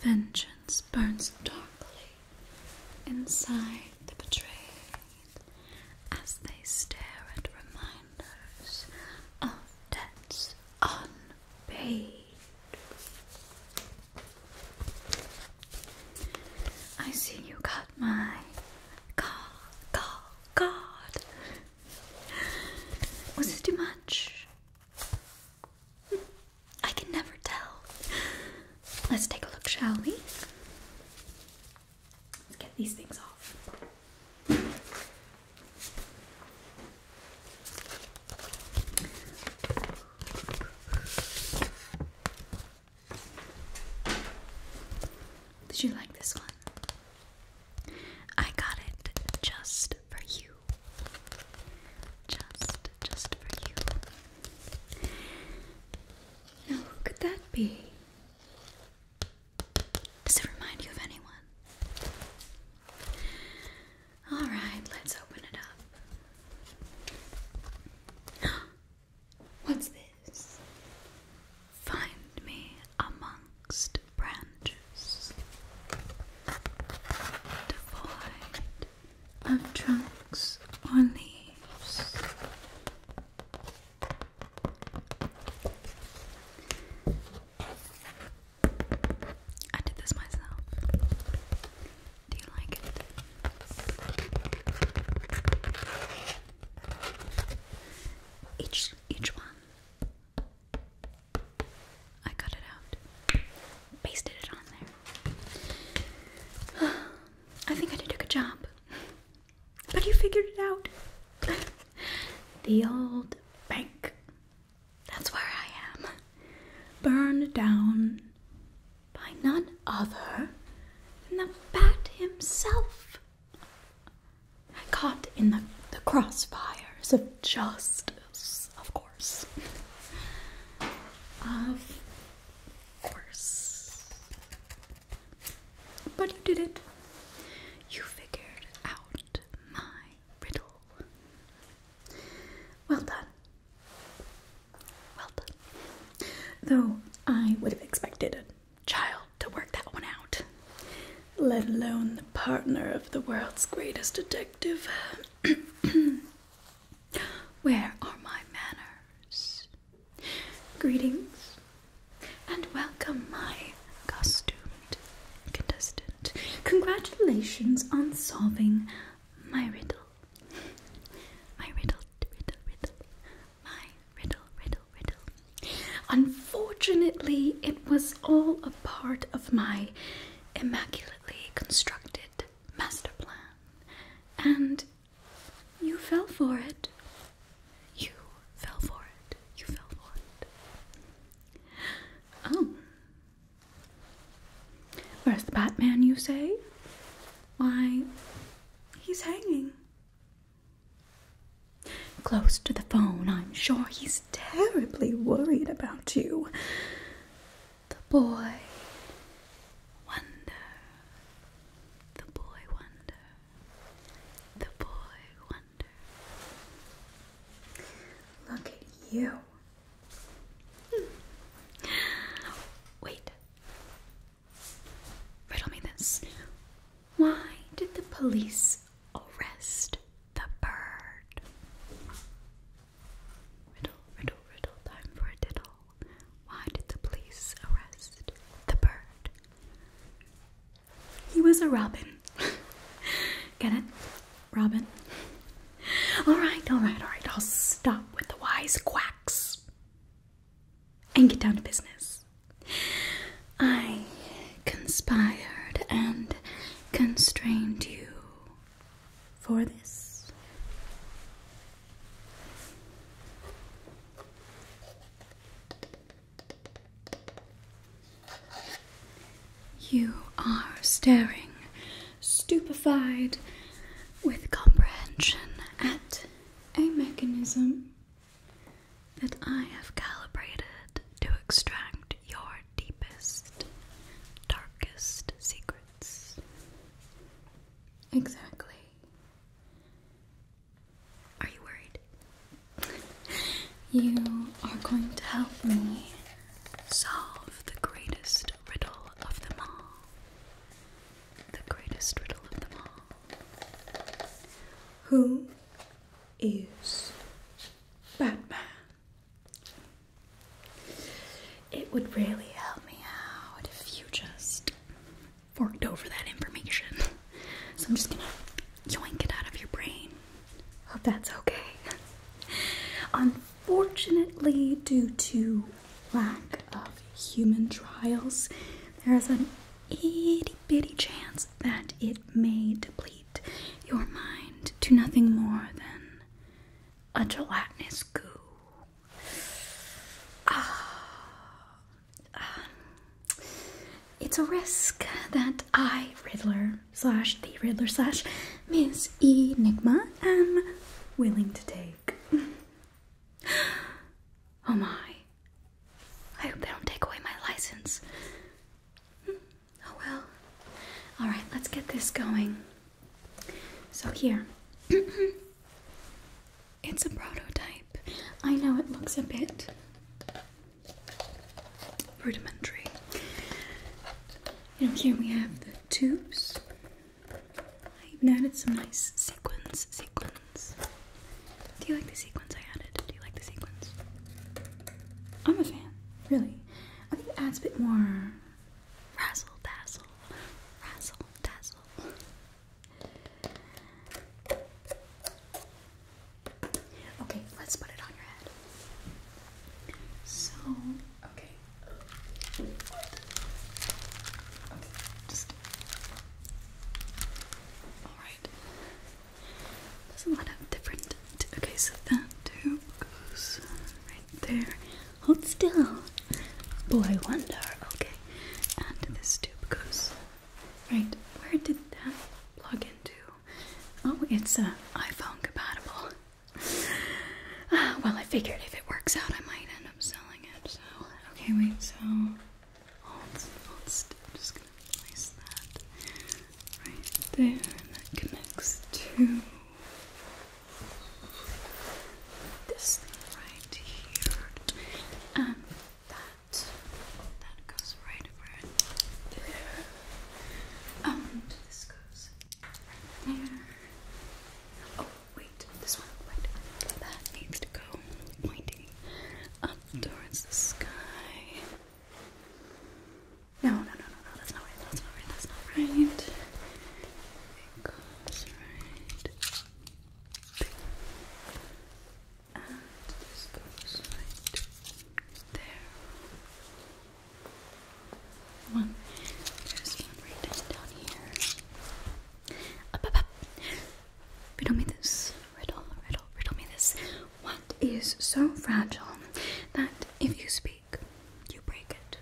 Vengeance burns darkly inside the betrayed as they stare at reminders of debts unpaid. I see you got my call, god, card. Was it too much? I can never tell. Let's take a look, shall we? Let's get these things off. Did you like this one? I got it just for you. Just, just for you. Now, who could that be? Does it remind you of anyone? Alright, let's open it up. What's this? Find me amongst branches, devoid of trunks or leaves. I did this myself. Do you like it? Each each one I cut it out. Pasted it on there. I think I did a good job. But you figured it out. the old bank. That's where I am. Burned down by none other than the bat himself. Caught in the, the crossfires of justice, of course. Of course. But you did it. You figured out my riddle. Well done. Well done. Though I would have expected a child to work that one out, let alone the partner of the world's greatest detective. Where are my manners? Greetings and welcome, my costumed contestant. Congratulations on solving my riddle my riddle, riddle, riddle, my riddle, riddle, riddle. Unfortunately, it was all a part of my immaculately constructed master plan, and you fell for it. You fell for it. You fell for it. Oh. Where's the Batman, you say? Why, he's hanging. Close to the phone, I'm sure he's terribly worried about you. The boy wonder. The boy wonder. The boy wonder. Look at you. Hmm. Wait. Riddle me this. Why did the police arrest the bird? Riddle, riddle, riddle, time for a diddle. Why did the police arrest the bird? He was a robin. Get it? Robin. Alright, alright, alright. I'll stop with the wise quacks and get down to business. I conspired and constrained you for this. You are staring, stupefied, with comprehension at a mechanism that I have calibrated to extract your deepest, darkest secrets. Exactly. Are you worried? you are going to help me solve the greatest riddle of them all the greatest riddle of them all. Who is Batman? It would really help me out if you just forked over that information. So I'm just gonna yoink it out of your brain. Hope that's okay. Unfortunately, due to lack of human trials, there is an itty bitty chance that it may deplete your mind to nothing more than a gelatinous goo. Ah, it's a risk that I, Riddler slash the Riddler slash Miss Enigma, am willing to take. Oh my. I hope they don't take away my license. Hmm. Oh well. Alright, let's get this going. So, here. it's a prototype. I know it looks a bit rudimentary. here we have the tubes. I even added some nice sequins. Sequins. Do you like the sequins I added? Do you like the sequins? I'm a fan, really. I think it adds a bit more razzle dazzle, razzle dazzle. Okay, let's put it on your head. So, okay, Okay, just all right. There's a lot of different. Okay, so that tube goes right there. Hold still. Boy wonder. Okay, and this tube goes right. Where did that plug into? Oh, it's uh, iPhone compatible. Ah, well, I figured if it works out, I might end up selling it. So, okay, wait. So, Just gonna place that right there, and to this right here, and um, that that goes right over there. Um, this goes right there. Oh, wait, this one, wait. That needs to go pointing up towards the sky. No, no, no, no, no, that's not right, that's not right, that's not right. It goes right there. And this goes right there. One. There's one right down here. Riddle me this. Riddle, riddle, riddle me this. What is so fragile that if you speak, you break it?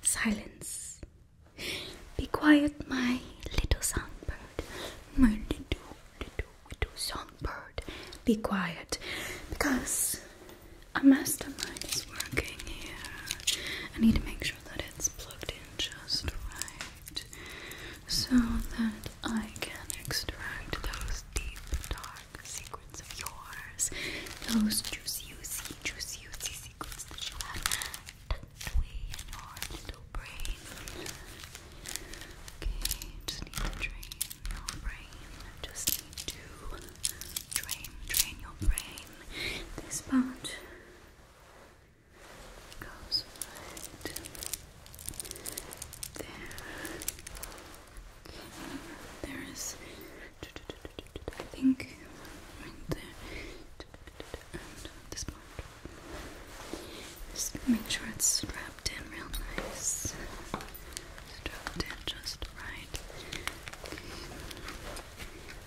Silence. Be quiet, my little songbird to Songbird, be quiet because a mastermind is working here. I need to make sure that it's plugged in just right so that I can extract those deep, dark secrets of yours, those juicy, juicy, juicy, juicy secrets that you have tucked away in your little brain. Okay, just need to drain your brain. Just need to drain, drain your brain. This part goes right there. there is. I think right there. this part. Just make sure it's strapped in real nice. Strapped in just right.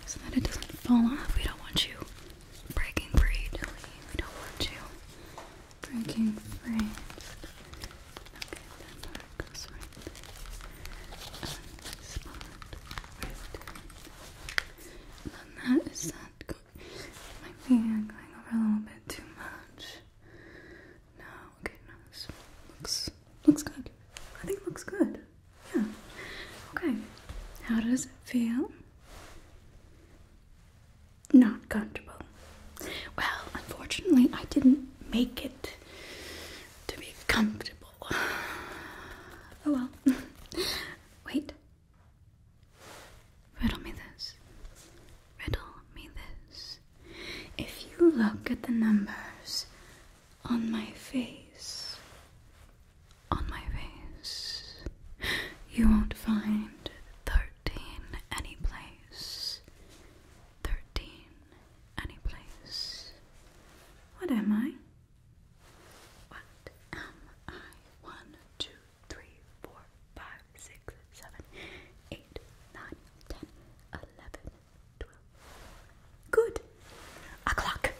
So that it doesn't fall off. We don't want you breaking free, We don't want you breaking free. Okay, that goes right there. Spot right then that is that might be going over a little bit too much. No, okay, no, this looks looks good. I think looks good. Yeah. Okay. How does it feel? Not comfortable. Well, unfortunately, I didn't make it to be comfortable. Oh well. Wait, Riddle me this. Riddle me this. If you look at the numbers on my face, on my face, you won't find 13 any place. 13 any place. What am I? What am I? One, two, three, four, five, six, seven, eight, nine, ten, eleven, twelve. Good. A clock.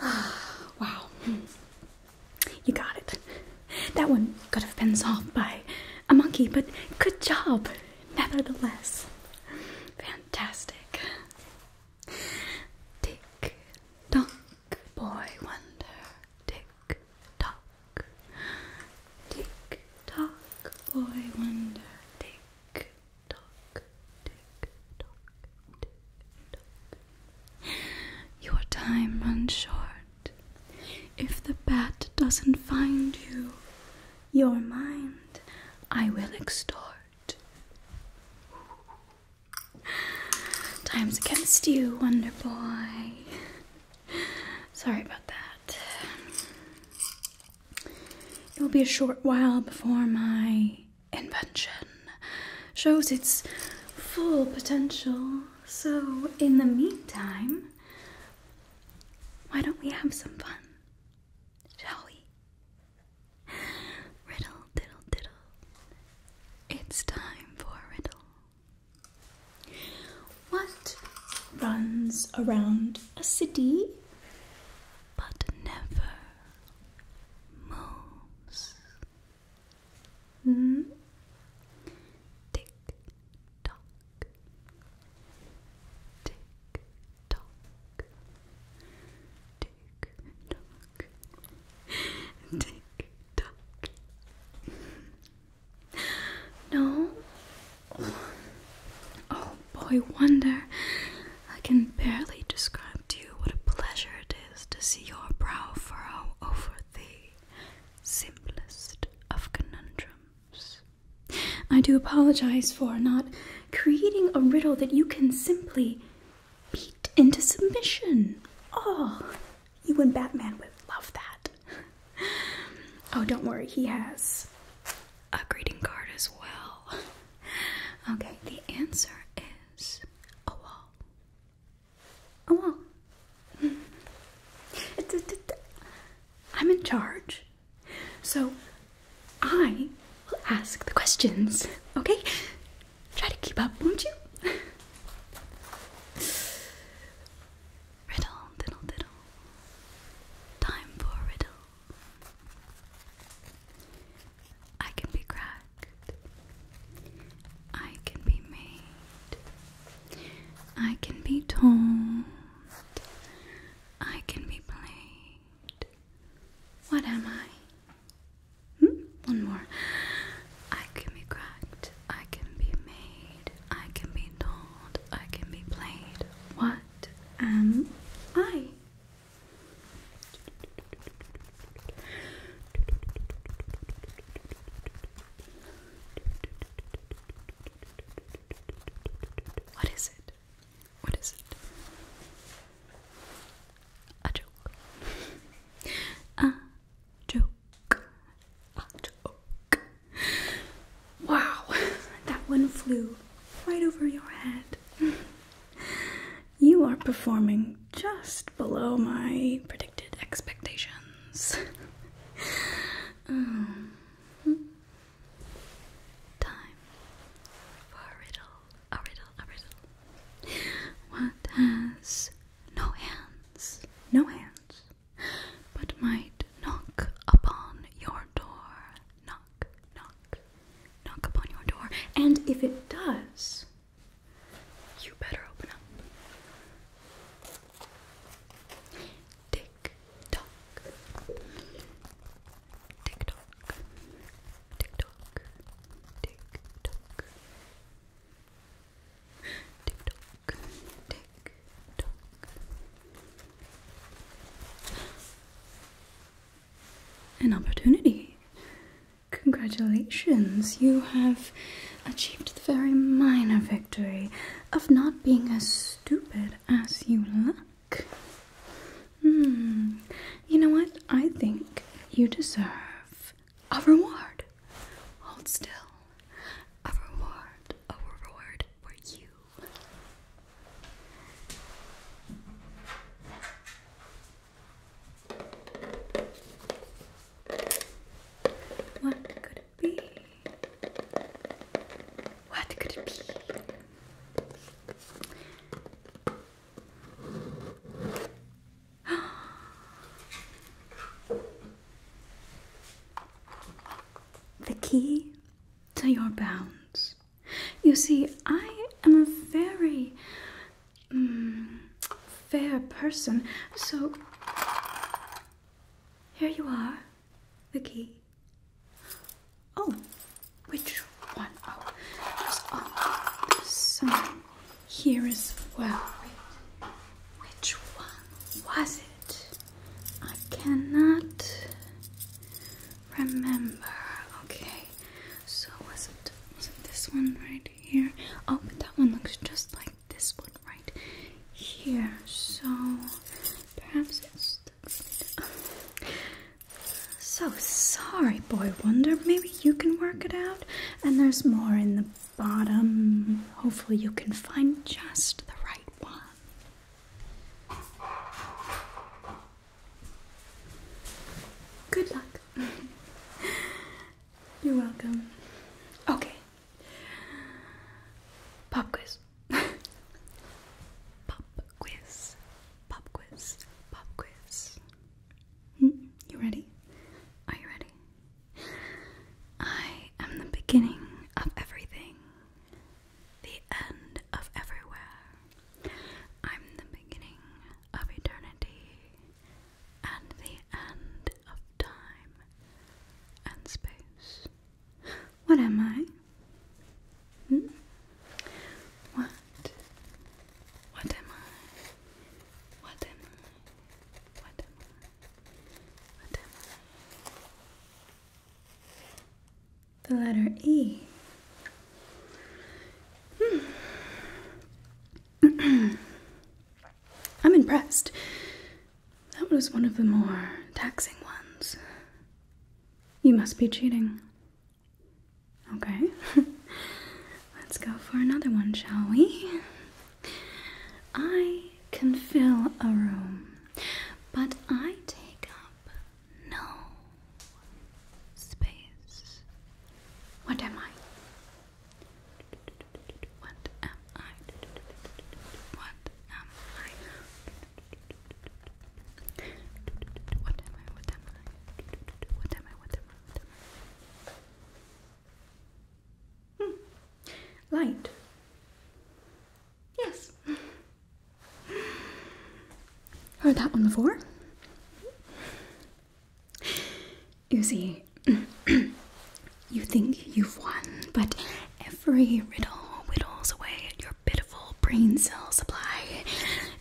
wow. You got it. That one could have been solved by a monkey, but good job nevertheless. Fantastic. Tick tock, boy wonder, tick tock, tick tock, boy wonder, tick tock, tick tock, tick tock. Your time runs short. If the bat doesn't find you, your mind I will extort. Times against you, Wonder Boy. Sorry about that. It will be a short while before my invention shows its full potential. So, in the meantime, why don't we have some fun? Shall we? Riddle, diddle, diddle. It's time for a riddle. What runs around a city but never moves? Hmm? Tick tock. Tick tock. Tick tock tick tock. No? Oh boy, wonder. I can barely describe to you what a pleasure it is to see your brow furrow over the simplest of conundrums. I do apologize for not creating a riddle that you can simply beat into submission. Oh, you and Batman would love that. Oh, don't worry, he has a greeting card as well. Okay, the answer is a wall. A wall. I'm in charge. So I will ask the questions, okay? Try to keep up, won't you? riddle, diddle, diddle. Time for riddle. I can be cracked. I can be made. I can be told. I can be played. What am I? Hmm? One more. I can be cracked. I can be made. I can be told. I can be played. What am I? What is it? What is it? a joke. a joke. A joke. Wow, that one flew right over your head. You are performing just below my predicted expectations. Um, hmm. time for a a riddle, a riddle. What has no hands, no hands, but might knock upon your door? Knock, knock, knock upon your door. And if it does, you better open up. Tick tock. Tick tock. TikTok, TikTok, TikTok, TikTok. An opportunity. Congratulations, you have achieved the very minor victory of not being as stupid as you look. Hmm, you know what? I think you deserve a reward. Hold still. A reward, a reward for you. What could it be? What could it be? the key to your bounds. You see, I am a very mm, fair person, so here you are, the key. Oh, which one There's oh, here as well. which one was it? I cannot remember. Okay, so was it, was it this one right here? Oh, but that one looks just like this one right here. So perhaps it's. The, so sorry, Boy Wonder. Maybe you can work it out. And there's more in the bottom. Hopefully, you can find just the right one. Good luck. You're welcome. Okay. Pop quiz. pop quiz. Pop quiz. Pop quiz. Hmm, you ready? Are you ready? I am the beginning of everything, the end of everywhere. I'm the beginning of eternity and the end of time and space. What am I? Hmm? What what am I? What am I? What am I? What am I? The letter E. Hmm. I'm impressed. That was one of the more taxing ones. You must be cheating. Okay, let's go for another one, shall we? I can fill a room, but I take up no space. What am I? What am I? What am I? What am I? What am I? What am I? What am I? Hmm. Light. Yes. Heard that one before. You see, you think you've won, but every riddle whittles away at your pitiful brain cells supply,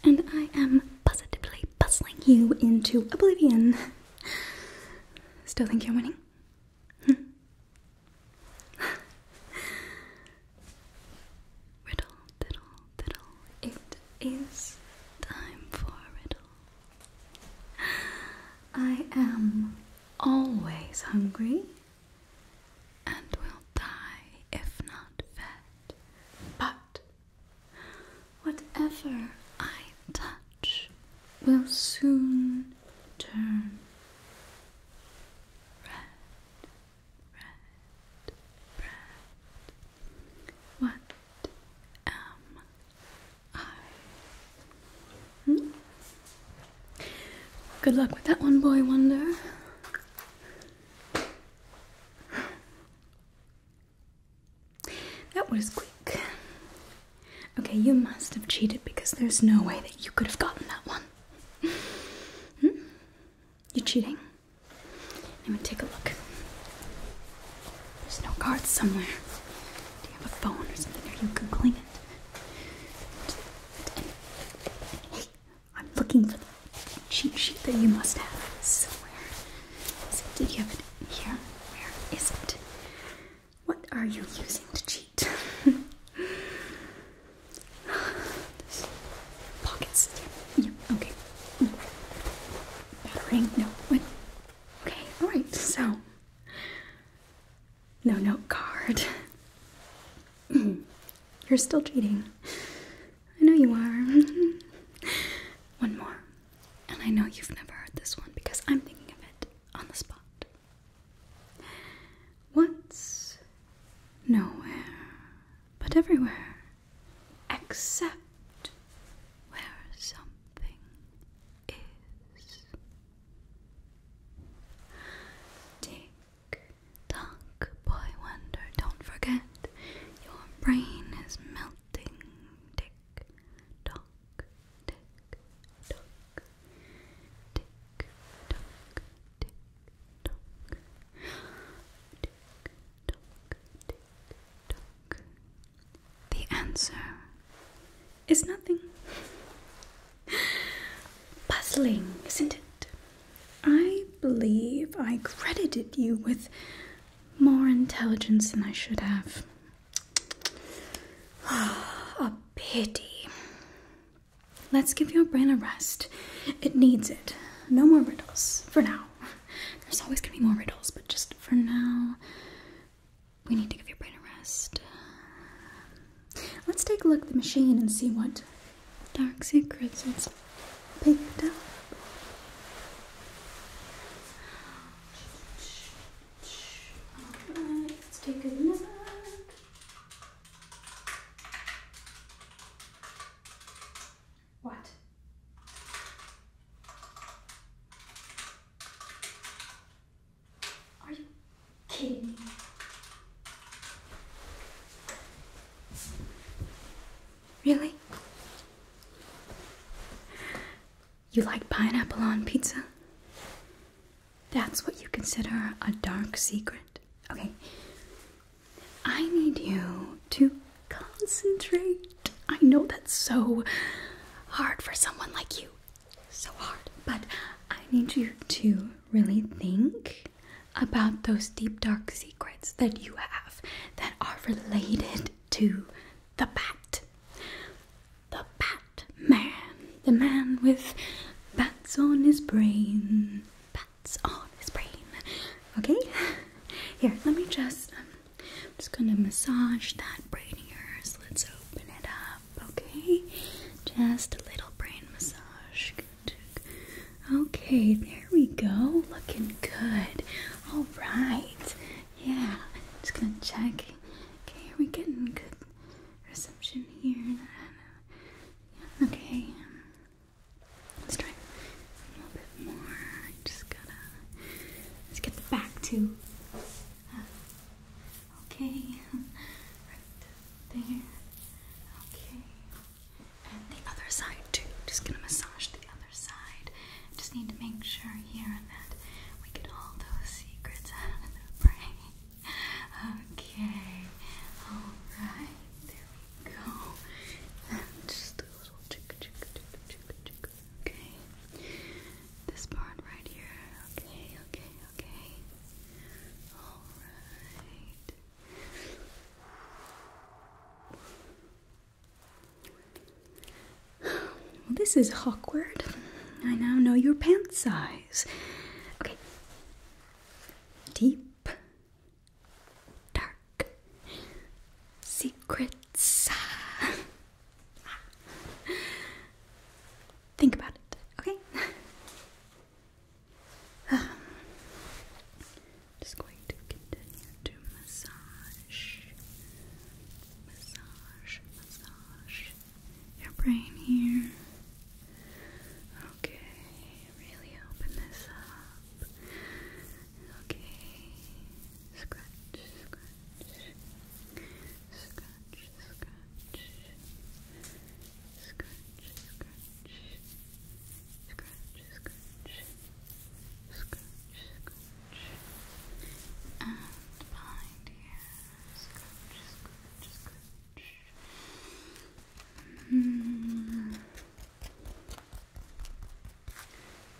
and I am positively bustling you into oblivion. Still think you're winning? Hmm. riddle, diddle, diddle. It is time for a riddle. I am always hungry and will die if not fed. But Whatever I touch will soon turn red, red, red. What am I? Hmm? Good luck with that one, boy wonder. That was quick. Okay, you must have cheated because there's no way that you could have gotten that one. Hmm? You're cheating? Let me take a look. There's no cards somewhere. Do you have a phone or something, or you can clean it? Hey, I'm looking for the cheat sheet that you must have somewhere. did you have it here? Where is it? What are you using to cheat? Pockets. Yeah. Okay. Battering? No. What? Okay. All right. So, no note card. You're still cheating. I know you are. one more. And I know you've never heard this one because I'm thinking of it on the spot. Once, nowhere but everywhere except where something is? Tick Talk, boy wonder, don't forget your brain is melting. Tick, tock, tick, tock, tick, tock, tick, tock, tick, tock, tick, tock. The answer is nothing. Puzzling, isn't it? I believe I credited you with more intelligence than I should have. a pity. Let's give your brain a rest. It needs it. No more riddles for now. There's always gonna be more riddles, but just for now, we need to give your brain a rest. Let's take a look at the machine and see what dark secrets and picked up. let's take a look. What? Are you kidding me? Really? You like pineapple on pizza? That's what you consider a dark secret. Okay. I need you to concentrate. I know that's so hard for someone like you. So hard. But I need you to really think about those deep dark secrets that you have that are related to the bat. The bat man, the man with bats on his brain. Bats on his brain. Okay? Here, let me just um, I'm just gonna massage that brain here. yours. Let's open it up, okay? Just a little brain massage. Okay, there we go. Looking good. All right. Yeah, just gonna check. Okay, are we getting good reception here? Okay, let's try a little bit more. Just gotta let's get the back too. Okay, right there. Okay, and the other side too. Just gonna massage the other side. Just need to make sure here that we get all those secrets out of the brain. Okay, alright, there we go. just Okay, this part right here. Okay, okay, okay. Alright this is awkward. I now know your pant size. Okay. Deep, dark, secrets. Think about it, okay? Just going to continue to massage, massage, massage your brain here. Okay, really open this up. Okay, scratch, scratch, scratch, scratch, scratch, scratch, Scratch, scratch, scratch, scratch, and behind here, scratch, scratch, scratch. Mm.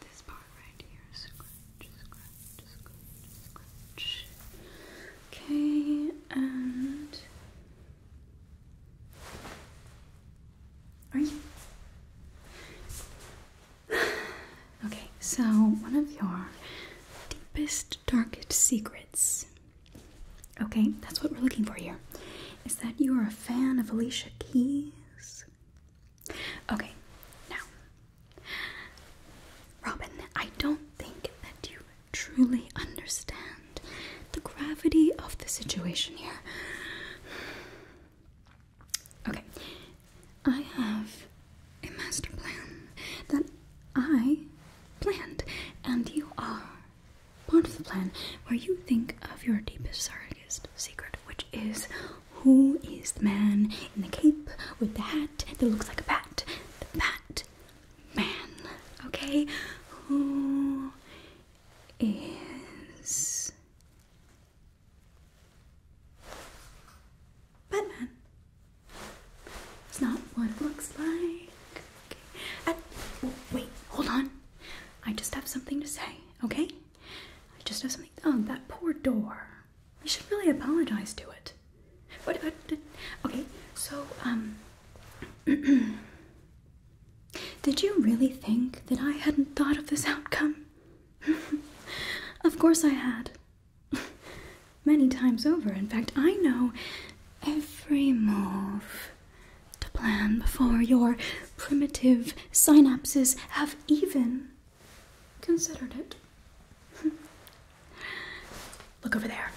This part right here, scratch, scratch, scratch, scratch. Okay, and are you? okay, so one of your deepest, darkest secrets. Okay, that's what we're looking for here. Is that you are a fan of Alicia Keys? Okay, now, Robin, I don't think that you truly understand the gravity of the situation here. Okay, I have a master plan that I planned, and you are part of the plan where you think of your deepest, darkest secret, which is who is the man in the cape with the hat that looks like a bat? The bat man, okay? Who is Batman. It's not what it looks like. wait, hold on. I just have something to say, okay? I just have something. Oh, that poor door. I should really apologize to it. But, okay, so, um. Did you really think that I hadn't thought of this outcome? of course I had. Many times over. In fact, I know every move to plan before your primitive synapses have even considered it. Look over there.